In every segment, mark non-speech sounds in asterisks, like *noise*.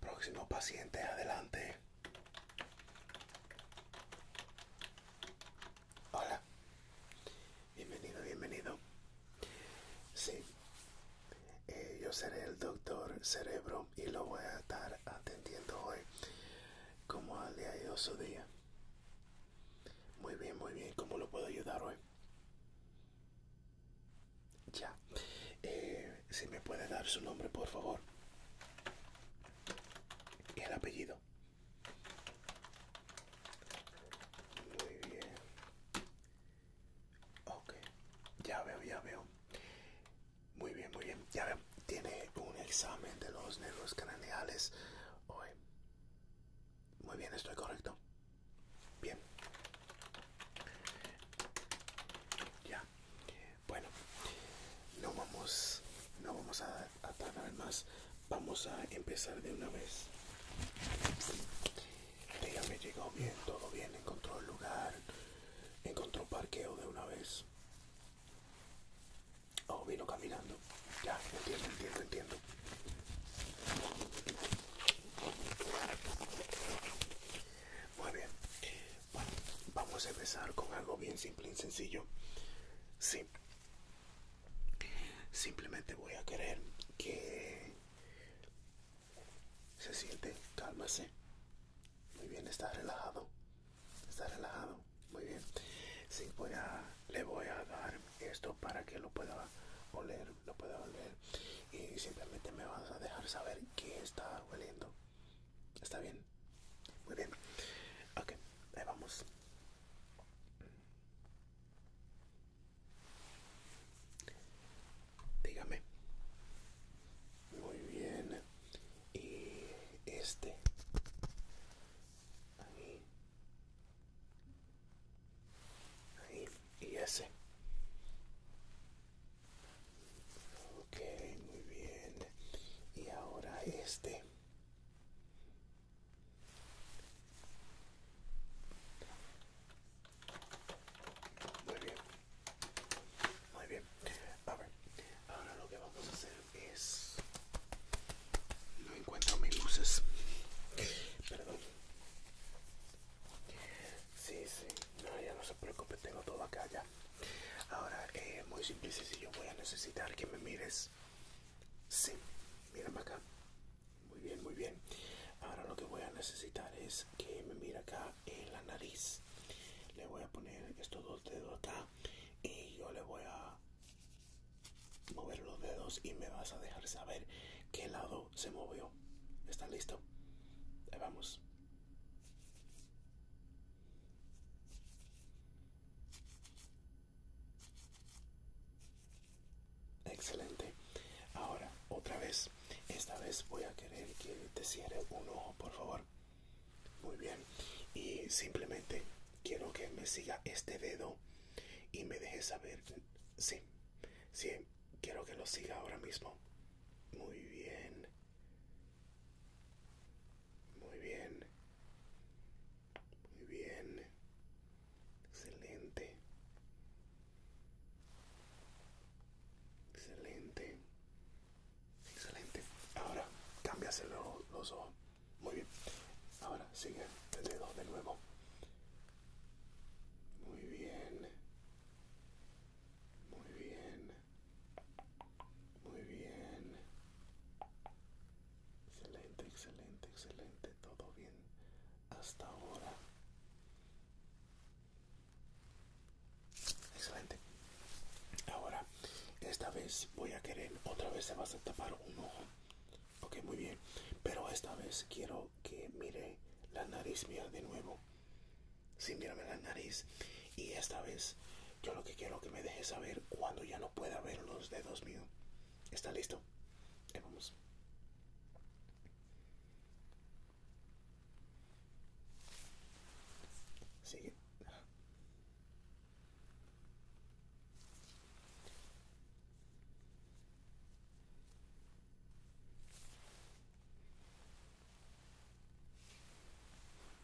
Próximo paciente, adelante. Hola. Bienvenido, bienvenido. Sí. Eh, yo seré el doctor Cerebro y lo voy a estar atendiendo hoy. como le ha ido su día? Muy bien, muy bien. ¿Cómo lo puedo ayudar hoy? Ya. Eh, si me puede dar su nombre, por favor. Y el apellido. Muy bien. Ok. Ya veo, ya veo. Muy bien, muy bien. Ya veo. Tiene un examen de los nervios craneales hoy. Muy bien, estoy correcto. Bien. Ya. Bueno, no vamos, no vamos a, tardar más. Vamos a empezar de una vez. me llegó bien, todo bien, encontró el lugar, encontró parqueo de una vez. Oh, vino caminando. Ya, entiendo, entiendo, entiendo. Muy bien. vamos a empezar con algo bien simple y sencillo. Sí. Simplemente voy a querer que se siente, cálmase. Muy bien, está relajado. Está relajado. Muy bien. Sí, voy a, le voy a dar esto para que lo pueda oler, lo pueda oler y simplemente me vas a dejar saber que está oliendo está bien muy bien ok ahí vamos dígame muy bien y este ahí y ese Ok, muy bien. Y ahora este. Muy bien. Muy bien. A ver, ahora lo que vamos a hacer es... No encuentro mis luces. Perdón. Sí, sí. No, ya no se preocupe, tengo todo acá ya. Ahora, es eh, muy simple y Yo voy a necesitar que me mires. Sí, mírame acá. Muy bien, muy bien. Ahora lo que voy a necesitar es que me mire acá en la nariz. Le voy a poner estos dos dedos acá y yo le voy a mover los dedos y me vas a dejar saber qué lado se movió. ¿Está listo? Ahí vamos. Excelente. Ahora, otra vez. Esta vez voy a querer que te cierre un ojo, por favor. Muy bien. Y simplemente quiero que me siga este dedo y me deje saber. Sí, sí, quiero que lo siga ahora mismo. Muy bien. Muy bien. Muy bien. Excelente. Excelente. Excelente. Ahora, cámbiase los, los ojos. Muy bien. Ahora sigue el dedo de nuevo. Muy bien. Muy bien. Muy bien. Excelente, excelente, excelente. Todo bien hasta ahora. Excelente. Ahora, esta vez voy a querer, otra vez se vas a tapar un ojo. Ok, muy bien. Pero esta vez quiero que mire la nariz mía de nuevo sin mirarme la nariz. Y esta vez yo lo que quiero que me deje saber cuando ya no pueda ver los dedos míos. ¿Está listo? vamos. Sigue.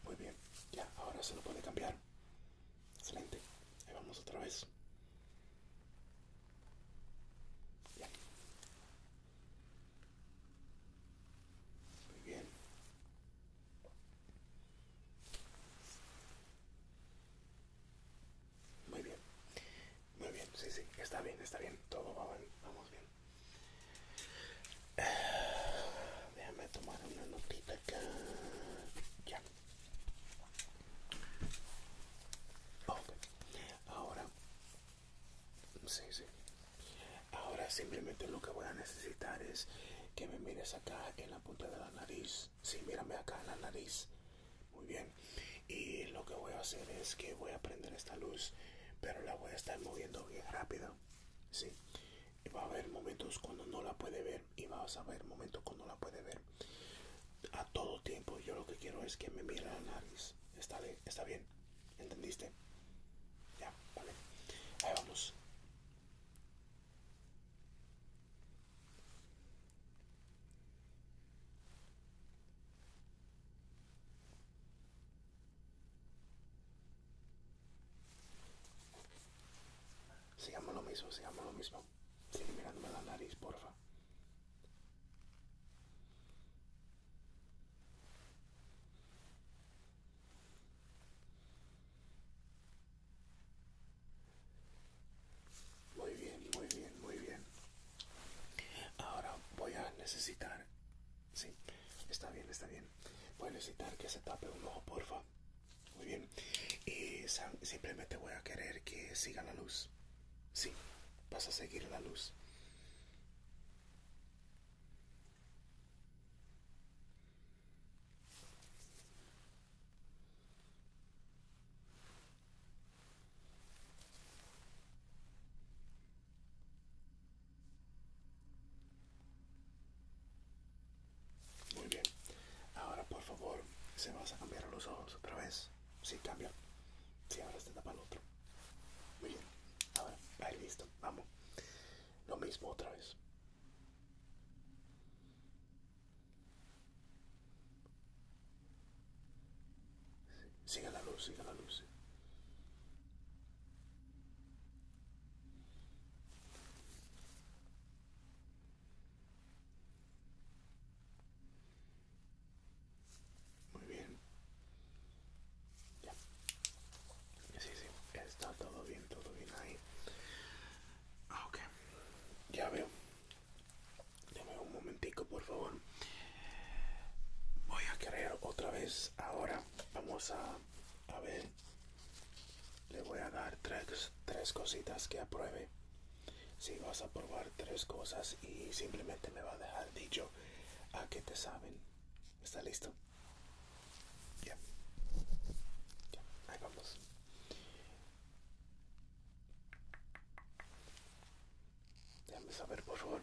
Muy bien, ya, ahora se lo puede cambiar. Excelente. Ahí vamos otra vez. Muy bien. Muy bien. Muy bien, sí, sí, está bien, está bien. Todo va bien, vamos bien. Déjame tomar una notita acá. Ya. Ok. Ahora, sí, sí. Ahora simplemente lo que voy a necesitar es que me mires acá en la punta de la nariz. Sí, mírame acá en la nariz. Muy bien. Y lo que voy a hacer es que voy a prender esta luz, pero la voy a estar moviendo bien rápido. Sí. Va a haber momentos cuando no la puede ver y vas a haber momentos cuando la puede ver. A todo tiempo yo lo que quiero es que me mire la nariz. Está, está bien. ¿Entendiste? Ya, vale. Ahí vamos. Sigamos lo mismo, sigamos lo mismo. Sin mirarme la nariz, porfa. Muy bien, muy bien, muy bien. Ahora voy a necesitar Sí, está bien, está bien. Voy a necesitar que se tape un ojo, porfa. Muy bien. Y simplemente voy a querer que siga la luz. Sí, vas a seguir la luz. Muy bien. Ahora, por favor, se vas a cambiar los ojos otra vez. Sí, cambia. Si sí, ahora está para el otro. Muy bien. Ahora, ahí listo. Vamos. Lo mismo otra vez. Siga la luz, siga la luz. Muy bien. Ya. Sí, sí, está todo bien, todo bien ahí. Ah, ok. Ya veo. Dame un momentico, por favor. Voy a querer otra vez ahora. Vamos a a ver le voy a dar tres, tres cositas que apruebe si vas a probar tres cosas y simplemente me va a dejar dicho a que te saben está listo ya ahí vamos déjame saber por favor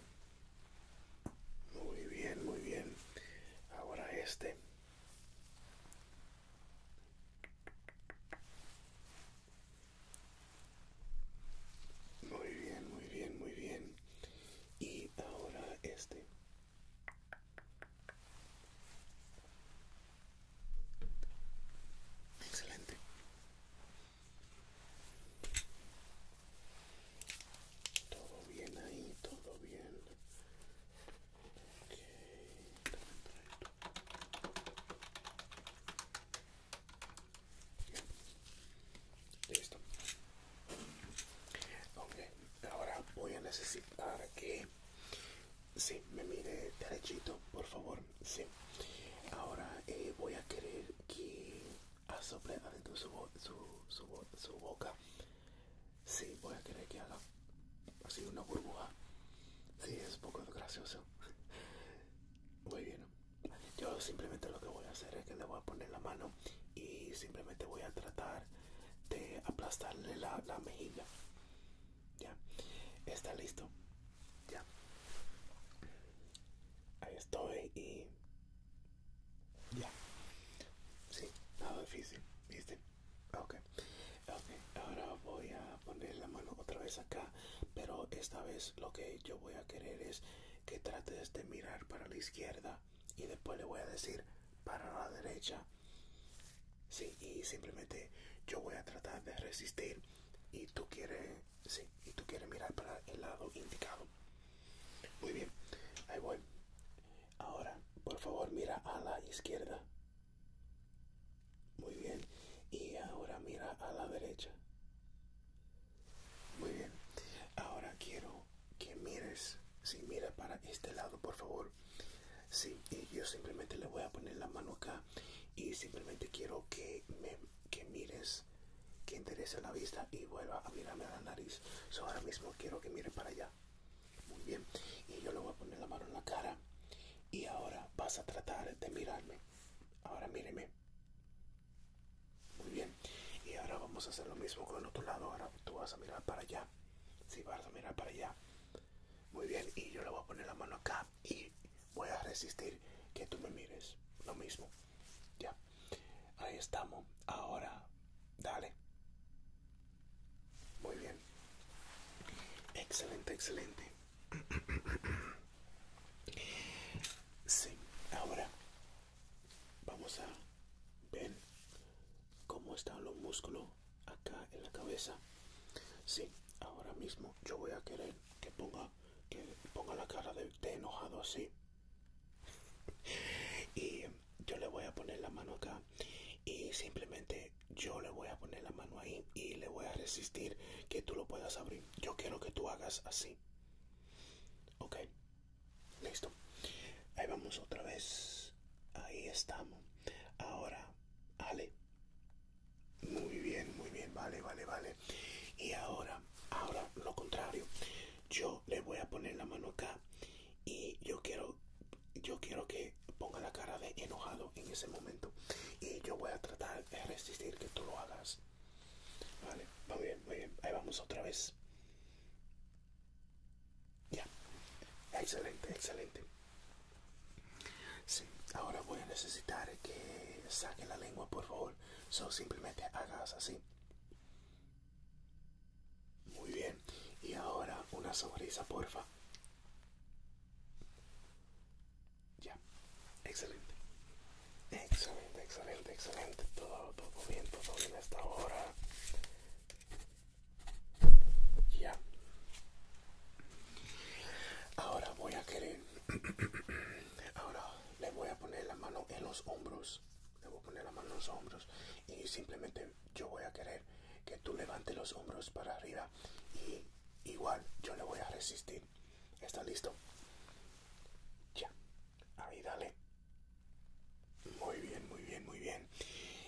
muy bien, muy bien. Ahora este. Muy bien, muy bien, muy bien. Y ahora este. Excelente. Todo bien ahí, todo bien. Ok, Listo. Ok, ahora voy a necesitar que sí, me mire derechito, por favor. Sí. Ahora eh, voy a querer que a soplar su, su, su, su boca. Sí, voy a querer que haga así una burbuja. Sí, es un poco gracioso. Muy bien. Yo simplemente lo que voy a hacer es que le voy a poner la mano y simplemente voy a tratar de aplastarle la, la mejilla. Ya. Está listo. Ya. Ahí estoy y ya. Sí, nada difícil, ¿viste? okay ahora voy a poner la mano otra vez acá, pero esta vez lo que yo voy a querer es que trates de mirar para la izquierda y después le voy a decir para la derecha. Sí, y simplemente yo voy a tratar de resistir y tú quieres, sí, y tú quieres mirar para el lado indicado. Muy bien, ahí voy. Ahora, por favor, mira a la izquierda. Muy bien. Y ahora mira a la derecha. Muy bien. Ahora quiero que mires. Si sí, mira para este lado, por favor. Sí, yo simplemente le voy a poner la mano acá y simplemente quiero que me mires, que interese la vista y vuelva a mirarme a la nariz. ahora mismo quiero que mire para allá. Muy bien. Y yo le voy a poner la mano en la cara. Y ahora vas a tratar de mirarme. Ahora míreme. Muy bien. Y ahora vamos a hacer lo mismo con otro lado. Ahora tú vas a mirar para allá. Sí, vas a mirar para allá. Muy bien. Y yo le voy a poner la mano acá. Y voy a resistir que tú me mires. Lo mismo. Ya. Ahí estamos. Ahora Dale. Muy bien. Excelente, excelente. *clears throat* Sí, ahora vamos a ver cómo están los músculos acá en la cabeza. Sí, ahora mismo yo voy a querer que ponga que ponga la cara de enojado así. *laughs* y yo le voy a poner la mano acá y simplemente yo le voy a poner la mano ahí y le voy a resistir que tú lo puedas abrir. Yo quiero que tú hagas así. Ok, listo. Ahí vamos otra vez. Ahí estamos. Ahora, Ale. Muy bien, muy bien. Vale, vale, vale. Y ahora, ahora lo contrario. Yo le voy a poner la mano acá y yo quiero yo quiero que ponga la cara de enojado en ese momento y yo voy a tratar de resistir que tú lo hagas vale muy bien muy bien ahí vamos otra vez ya excelente excelente sí ahora voy a necesitar que saque la lengua por favor solo simplemente hagas así muy bien. Y ahora una sonrisa, porfa. Ya. Excelente. Excelente, excelente, excelente. Todo, bien, todo bien hasta ahora. Ya. Ahora voy a querer... *clears throat* ahora le voy a poner la mano en los hombros. Le voy a poner la mano en los hombros y simplemente yo voy a querer que tú levantes los hombros para arriba y igual yo le voy a resistir. ¿Está listo? Ya. Ahí dale. Muy bien, muy bien, muy bien.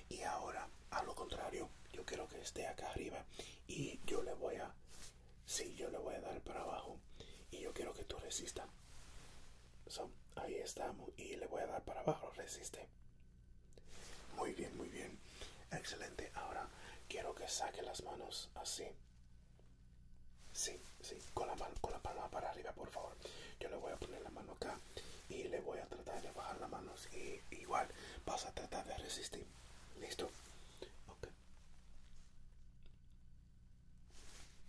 Y ahora, a lo contrario, yo quiero que esté acá arriba y yo le voy a... Sí, yo le voy a dar para abajo y yo quiero que tú resistas. son ahí estamos y le voy a dar para abajo, resiste. Muy bien, muy bien. Excelente. Ahora quiero que saque las manos así. Sí, sí, con la, con la palma para arriba, por favor. Yo le voy a poner la mano acá y le voy a tratar de bajar las manos. Y igual vas a tratar de resistir. ¿Listo? Ok.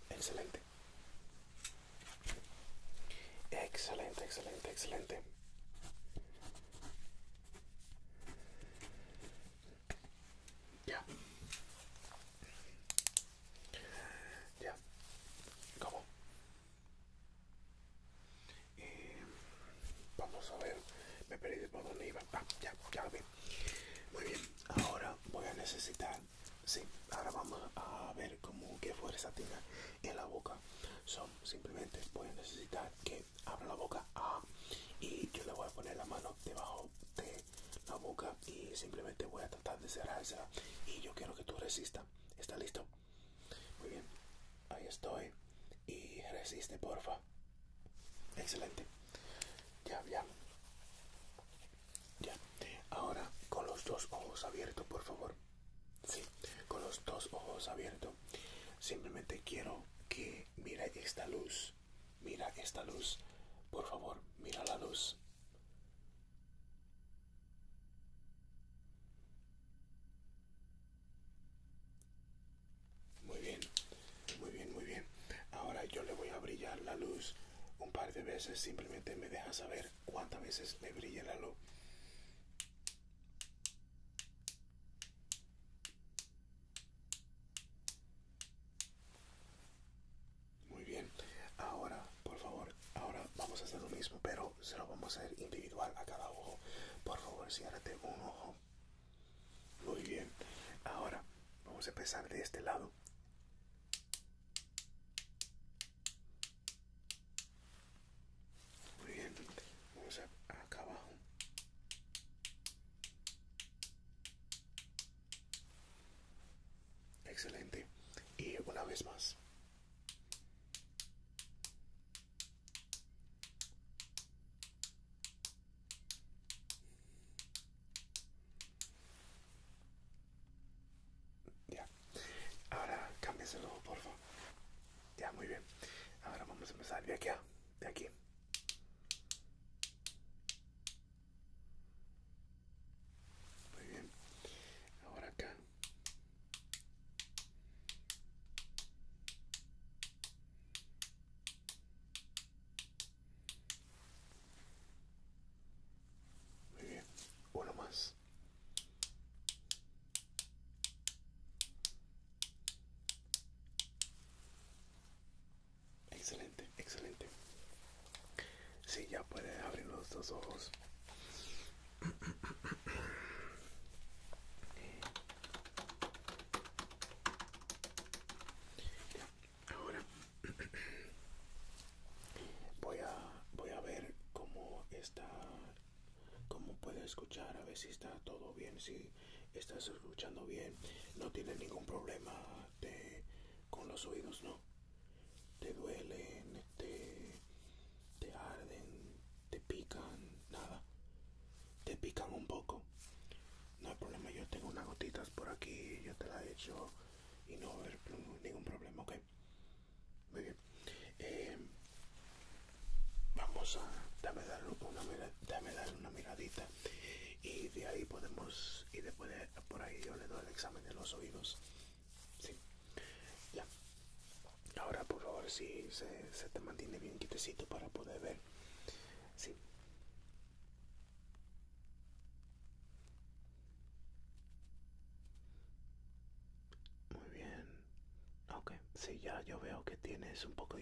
Excelente. Excelente, excelente, excelente. Ya. Ya. ¿Cómo? Eh, vamos a ver. Me perdí por dónde iba. Ah, ya, ya lo vi. Muy bien. Ahora voy a necesitar. Sí, ahora vamos a ver cómo qué esa tina en la boca. Son simplemente voy a necesitar que abra la boca ah, y yo le voy a poner la mano debajo de la boca y simplemente voy a tratar de cerrársela y yo quiero que tú resista. ¿Está listo? Muy bien. Ahí estoy. Y resiste, porfa. Excelente. Ya, ya. Ya. Ahora con los dos ojos abiertos, por favor. Sí, con los dos ojos abiertos. Simplemente quiero que mire esta luz. Mira esta luz. Por favor, mira la luz. Muy bien, muy bien, muy bien. Ahora yo le voy a brillar la luz un par de veces. Simplemente me deja saber cuántas veces le brilla la luz. Muy bien, ahora por favor, ahora vamos a hacer lo mismo, pero se lo vamos a hacer individual a cada ojo. Por favor, ciérrate un ojo. Muy bien, ahora vamos a empezar de este lado. Muy bien, vamos a, acá abajo. Excelente. Y una vez más. Ya. Ahora cámbiaselo, por favor. Ya, muy bien. Ahora vamos a empezar de aquí de aquí. Muy bien. Ahora acá. Muy bien. Uno más. Excelente, excelente. Sí, ya puede abrir los dos ojos. Ahora voy a voy a ver cómo está como puede escuchar a ver si está todo bien si estás escuchando bien no tiene ningún problema con los oídos no te duelen te, arden te pican nada te pican un poco no hay problema yo tengo unas gotitas por aquí yo te la he hecho y no hay ningún problema muy bien. Eh, vamos a dame darle una, miradita y de ahí podemos y después por ahí yo le doy el examen de los oídos. Sí, ya. Ahora por favor si se, te mantiene bien quietecito para poder ver. Sí. Muy bien. Ok, si ya yo veo que tienes un poco...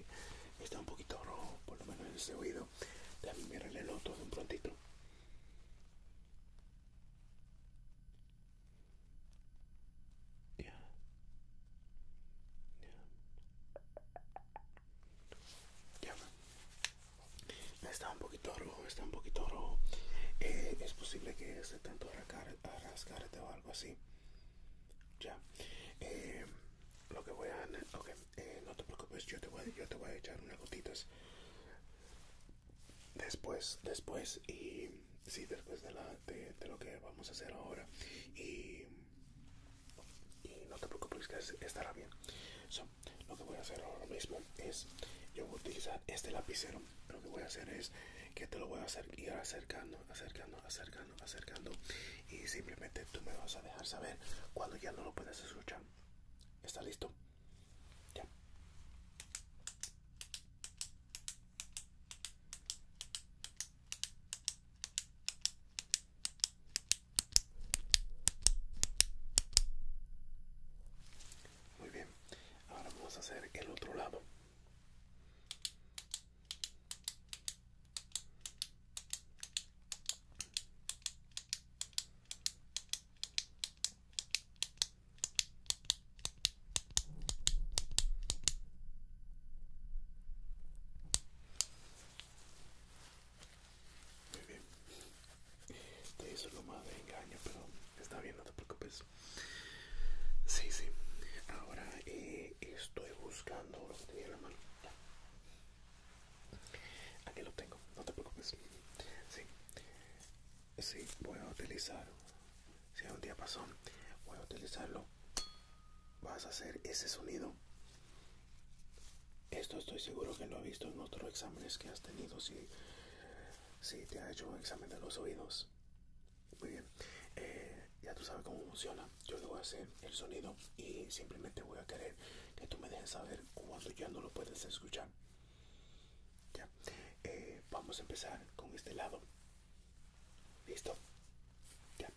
Está un poquito rojo, por lo menos en ese oído. También mirarle el otro de un prontito. Ya. Está un poquito rojo, está un poquito rojo. Eh, es posible que esté tanto rascar, rascar te va algo así. Ya. Eh, lo que voy a... Eh, no te preocupes, yo te, voy, a echar unas gotitas. Después, después y... Sí, después de, lo que vamos a hacer ahora. Y... no te preocupes que estará bien. lo que voy a hacer ahora mismo es... Yo voy a utilizar este lapicero lo que voy a hacer es que te lo voy a hacer ir acercando, acercando, acercando, acercando. Y simplemente tú me vas a dejar saber cuando ya no lo puedes escuchar. ¿Está listo? Ya. Muy bien. Ahora vamos a hacer el otro lado. Muy bien. Te es lo más de engaño, pero está bien, no te preocupes. Sí, sí. Ahora eh, estoy buscando lo que la mano. Aquí lo tengo, no te preocupes. Sí. Sí, voy a utilizar. Si un día pasó, voy a utilizarlo. Vas a hacer ese sonido. Esto estoy seguro que lo ha visto en otros exámenes que has tenido. Si, si te ha hecho un examen de los oídos, muy bien, eh, ya tú sabes cómo funciona. Yo le voy a hacer el sonido y simplemente voy a querer que tú me dejes saber cuando ya no lo puedes escuchar. Ya, eh, vamos a empezar con este lado. Listo, ya.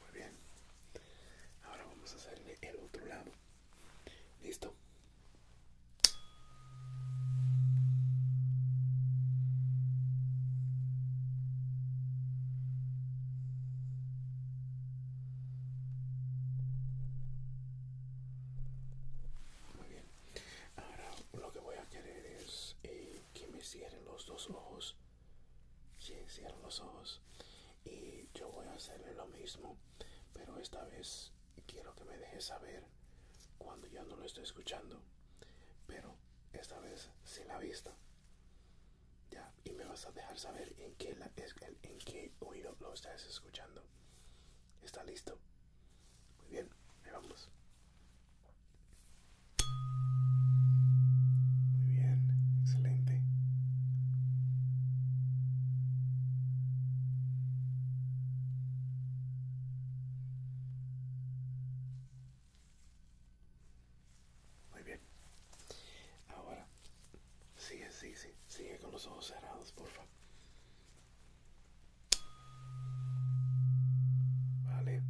Muy bien. Ahora vamos a hacerle el otro lado. ¿Listo? Muy bien. Ahora lo que voy a querer es eh, que me cierren los dos ojos. Si, cierren los ojos. Y yo voy a hacer lo mismo. Pero esta vez quiero que me dejes saber cuando ya no lo estoy escuchando. Pero esta vez sin la vista. Ya, y me vas a dejar saber en qué, en qué oído lo estás escuchando. ¿Está listo? Muy bien, ahí vamos. Muy bien, excelente. Muy bien. Ahora, sigue, sigue, sigue, sigue con los ojos cerrados, porfa. Vale.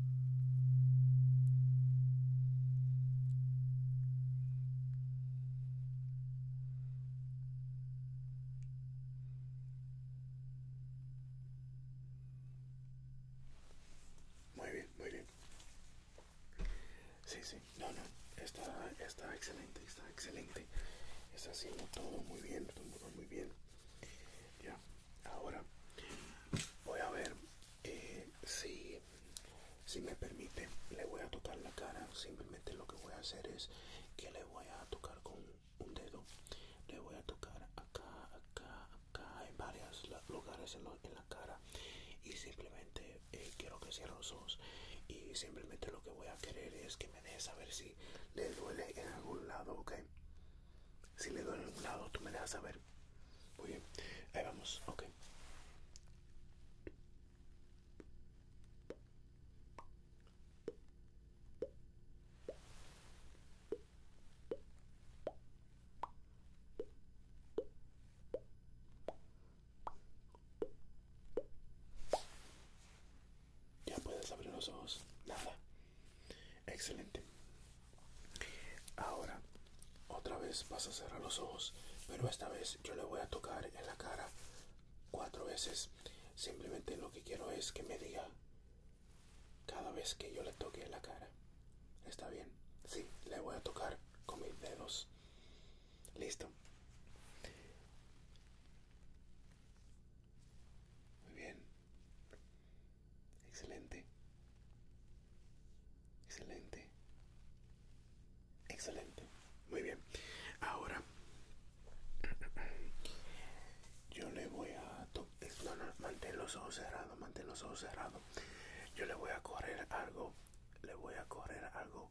Muy bien, muy bien. Sí, sí, no, no, está, está excelente. Está excelente. Está haciendo todo muy bien, todo muy bien. Ya, ahora voy a ver eh, si, si me permite. Le voy a tocar la cara. Simplemente lo que voy a hacer es que le voy a tocar con un dedo. Le voy a tocar acá, acá, acá, en varios lugares en, la cara. Y simplemente eh, quiero que cierre los ojos. Y simplemente lo que voy a querer es que Deja saber si le duele en algún lado, ¿ok? Si le duele en algún lado, tú me dejas saber. Muy bien, ahí vamos, ok. Ya puedes abrir los ojos. Nada. Excelente. Ahora, otra vez vas a cerrar los ojos, pero esta vez yo le voy a tocar en la cara cuatro veces. Simplemente lo que quiero es que me diga cada vez que yo le toque en la cara. ¿Está bien? Sí, le voy a tocar con mis dedos. Listo. Muy bien. Excelente. Excelente. Excelente. Muy bien. Ahora yo le voy a eh, no, mantén los ojos cerrados, mantén los ojos cerrados. Yo le voy a correr algo, le voy a correr algo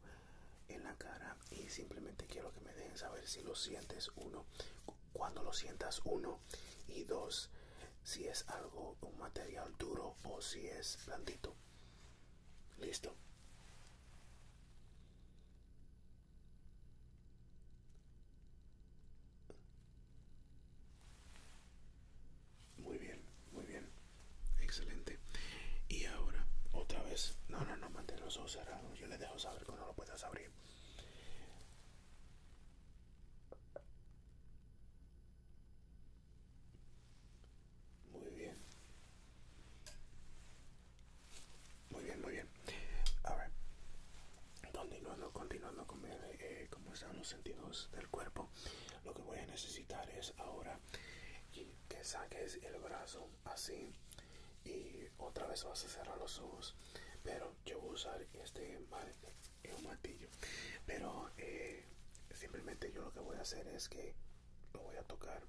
en la cara y simplemente quiero que me dejen saber si lo sientes uno cuando lo sientas uno y dos si es algo un material duro o si es blandito listo muy bien muy bien excelente y ahora otra vez no no no mantén los ojos cerrados yo les dejo saber cuando lo puedas abrir muy bien. Muy bien, muy bien. A ver. Continuando, continuando con eh, están los sentidos del cuerpo. Lo que voy a necesitar es ahora que saques el brazo así y otra vez vas a cerrar los ojos pero yo voy a usar este eh, un martillo pero eh, simplemente yo lo que voy a hacer es que lo voy a tocar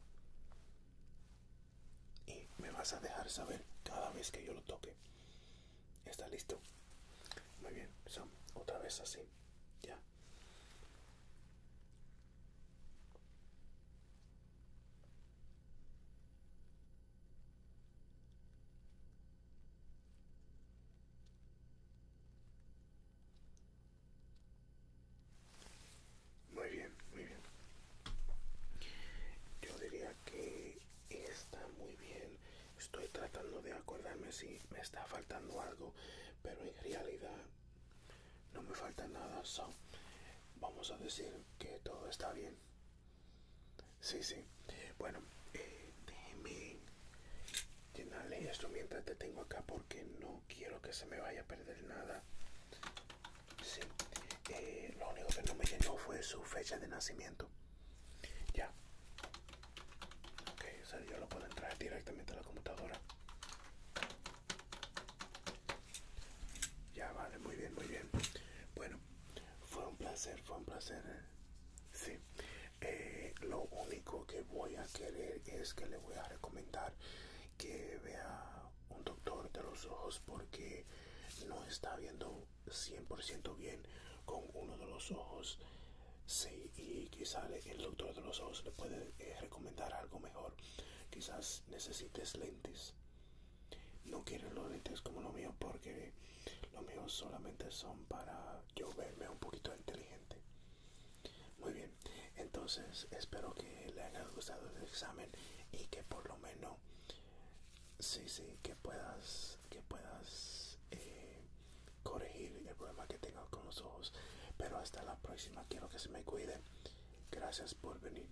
y me vas a dejar saber cada vez que yo lo toque está listo muy bien otra vez así ya muy bien, muy bien. Yo diría que está muy bien. Estoy tratando de acordarme si me está faltando algo, pero en realidad no me falta nada. vamos a decir que todo está bien. Sí, sí. Bueno, eh, déjeme llenarle esto mientras te tengo acá porque no quiero que se me vaya a perder nada. Sí. Eh, lo único que no me llenó fue su fecha de nacimiento. Ya. Ok, o sea, yo lo puedo entrar directamente a la computadora. Ya, vale, muy bien, muy bien. Bueno, fue un placer, fue un placer. Eh. Sí. Eh, lo único que voy a querer es que le voy a recomendar que vea un doctor de los ojos porque no está viendo 100% bien con uno de los ojos. Sí, y quizás el doctor de los ojos le puede eh, recomendar algo mejor. Quizás necesites lentes no quiero los lentes como los míos porque los míos solamente son para yo verme un poquito inteligente muy bien entonces espero que le haya gustado el examen y que por lo menos sí sí que puedas que puedas eh, corregir el problema que tengo con los ojos pero hasta la próxima quiero que se me cuide gracias por venir